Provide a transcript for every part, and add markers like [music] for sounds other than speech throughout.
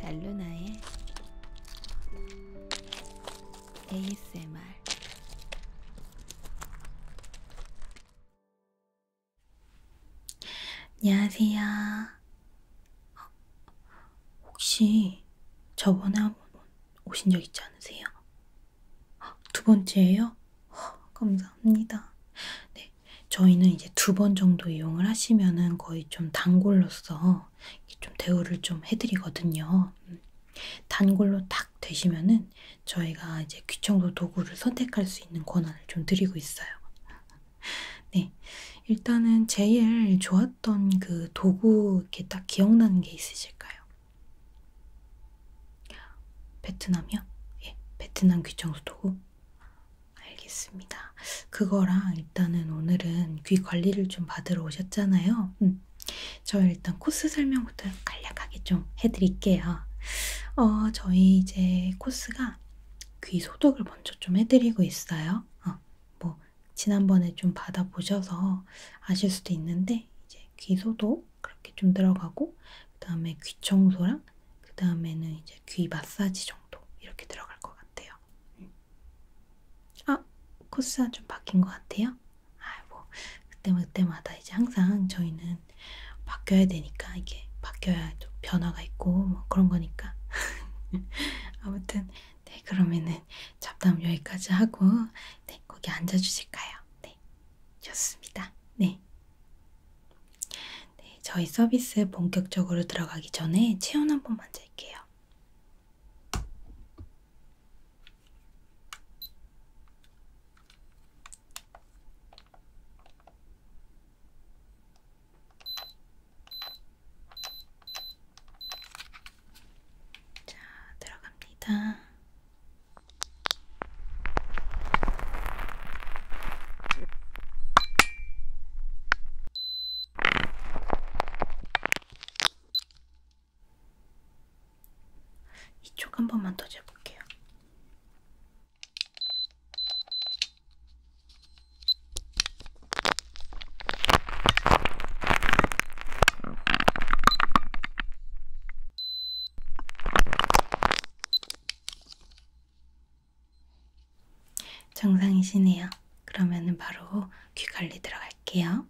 달루나의 ASMR 안녕하세요. 어, 혹시 저번에 한 번 오신 적 있지 않으세요? 어, 두 번째예요? 어, 감사합니다. 네, 저희는 이제 두 번 정도 이용을 하시면은 거의 좀 단골로서 좀 대우를 좀 해드리거든요. 음, 단골로 딱 되시면은 저희가 이제 귀청소 도구를 선택할 수 있는 권한을 좀 드리고 있어요. [laughs] 네, 일단은 제일 좋았던 그 도구 이렇게 딱 기억나는 게 있으실까요? 베트남이요? 예, 베트남 귀청소 도구? 알겠습니다. 그거랑 일단은 오늘은 귀 관리를 좀 받으러 오셨잖아요. 음. 저 일단 코스 설명부터 간략하게 좀 해드릴게요. 어, 저희 이제 코스가 귀 소독을 먼저 좀 해드리고 있어요. 어, 뭐 지난번에 좀 받아보셔서 아실 수도 있는데 이제 귀 소독 그렇게 좀 들어가고 그 다음에 귀 청소랑 그 다음에는 이제 귀 마사지 정도 이렇게 들어갈 것 같아요. 음. 아 코스가 좀 바뀐 것 같아요. 아뭐 그때마다 이제 항상 저희는 일단은 바뀌어야 되니까 이게 바뀌어야 좀 변화가 있고 뭐 그런 거니까 [laughs] 아무튼 네 그러면은 잡담 여기까지 하고 네 거기 앉아 주실까요? 네 좋습니다. 네. 네 저희 서비스 본격적으로 들어가기 전에 체온 한 번만 잴게요. 자, 들어갑니다. 이쪽 한 번만 더 재볼게요. 정상이시네요. 그러면은 바로 귀 관리 들어갈게요.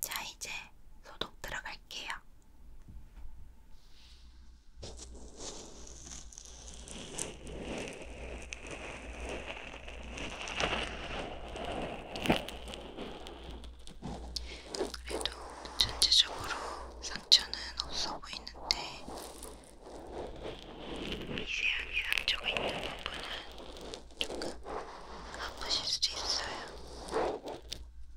자, 이제 소독 들어갈게요. 그래도 전체적으로 상처는 없어 보이는데 미세하게 상처가 있는 부분은 조금 아프실 수도 있어요.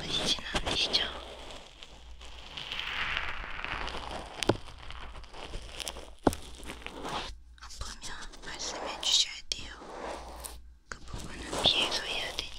바쁘시진 않으시죠? 아프면 말씀해 주셔야 돼요. 그 부분은 피해서 해야 되니까.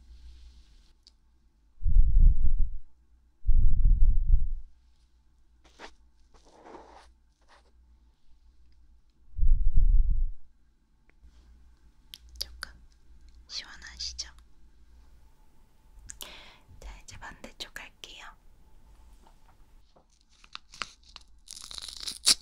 조금 시원하시죠? 자, 이제 반대쪽 할게요.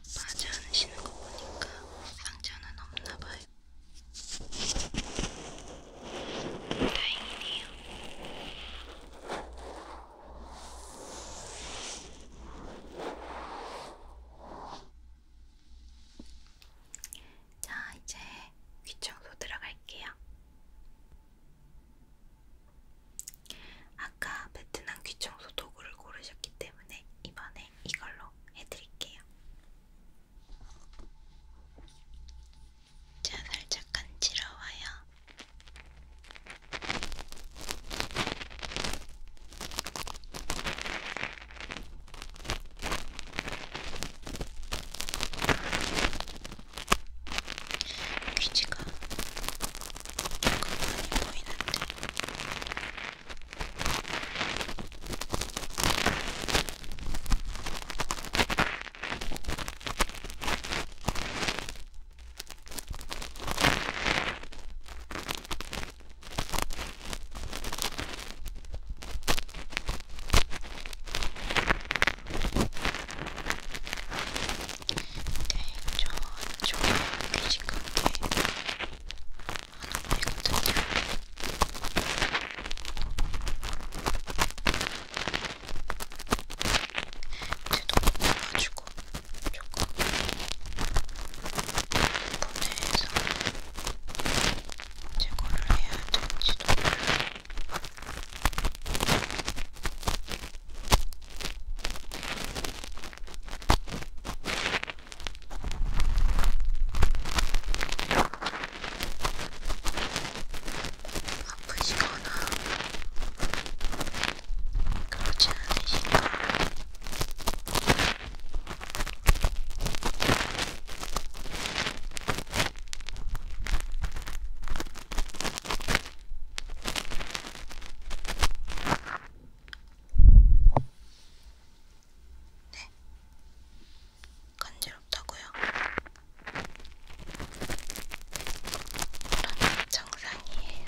아파하지 않으시는 거 보니까 상처는 없나 봐요. 다행이네요. 자, 이제 귀청소 들어갈게요. 아까 베트남 귀청소 도구를 고르셨기 때문에 이번엔 네, 이걸로 해드릴게요. 자, 살짝 간지러워요. 귀지가 조금 많이 보이는데 네, 저 좋은 귀신 같아. 하는 말이거든요. 이제 너무 많아가지고 조금 분해해서 제거를 해야 될지도 몰라요. 아프시거나 그렇지 않으시면 네. 간지럽다고요? 그럼 정상이에요.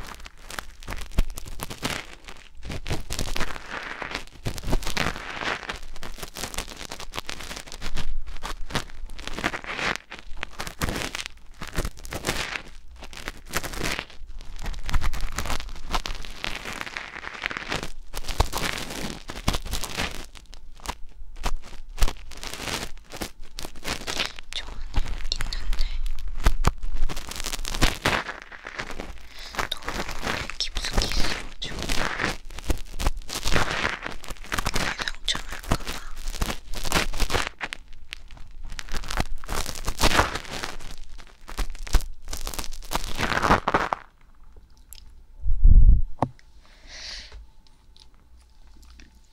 좋아는 있는데 너무 깊숙이 있어가지고 상처 날까봐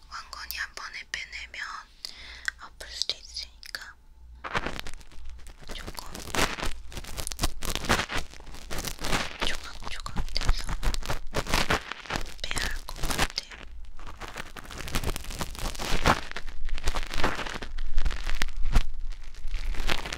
왕건이 한 번에 빼내면 아플 수도 있으니까 조금 조각조각 돼서 빼야 할 것 같아요.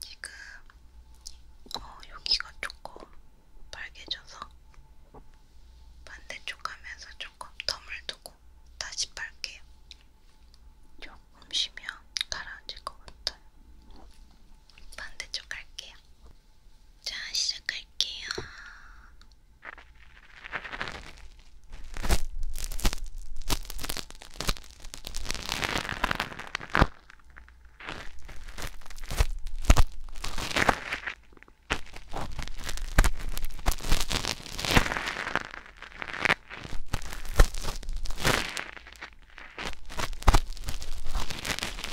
지금 어, 여기가 조금 빨개져서 반대쪽 하면서 조금 덤을 두고 다시 빨게요. 조금 쉬면 가라앉을 것 같아요. 반대쪽 갈게요. 자, 시작할게요.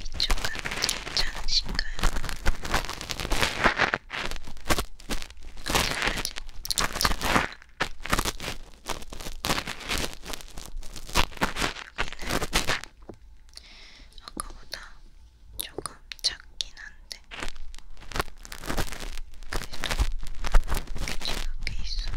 이쪽은 괜찮으신가요? 어디까지 괜찮아요? 여기는 아까보다 조금 작긴 한데 그래도 괜찮게 있어요.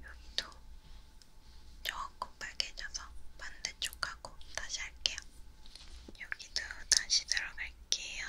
여기도 조금 빨개져서 반대쪽하고 다시 할게요. 여기도 다시 들어갈게요.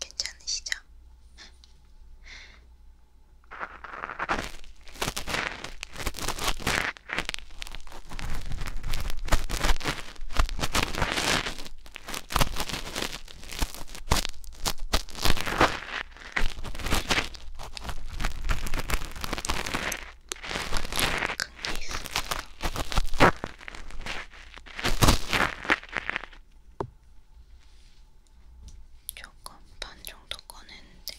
괜찮으시죠? 큰게 있어요. 조금 반 정도 꺼냈는데.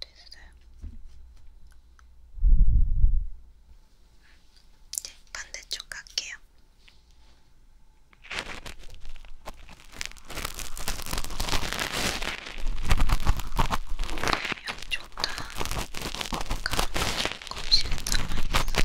됐어요. 네, 반대쪽 갈게요. 양쪽 다 가운데 조금씩 남아있어서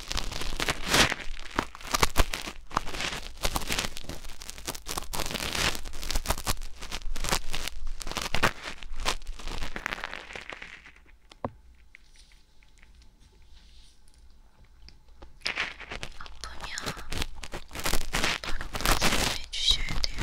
아프면 바로 말씀해 주셔야 돼요.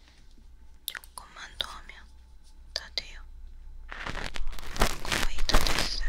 조금만 더 하면 다 돼요. 거의 다 됐어요.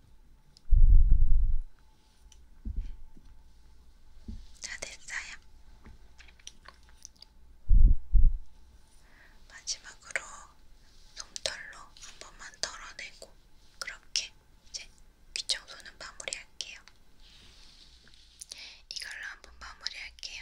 다 됐어요. 마지막으로 솜털로 한 번만 털어내고 그렇게 이제 귀청소는 마무리할게요. 이걸로 한 번 마무리할게요.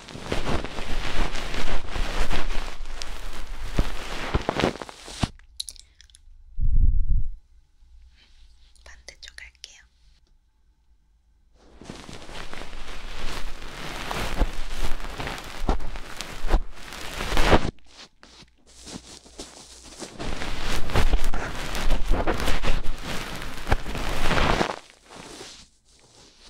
반대쪽 할게요.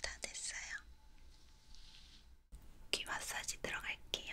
다 됐어요. 귀 마사지 들어갈게요.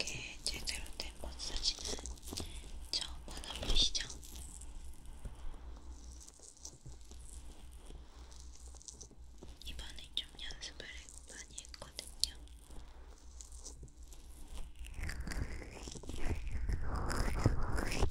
이렇게 제대로 된 마사지는 처음 받아보시죠? 이번에 좀 연습을 많이 했거든요.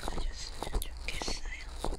가셨으면 좋겠어요.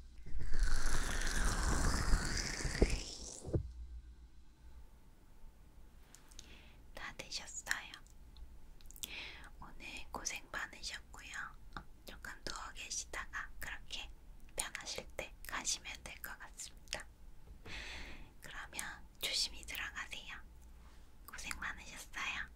다 드셨어요. 오늘 고생 많으셨고요. 조금 누워 계시다가 그렇게 편하실 때 가시면 될 것 같습니다. 그러면 조심히 들어가세요. 고생 많으셨어요.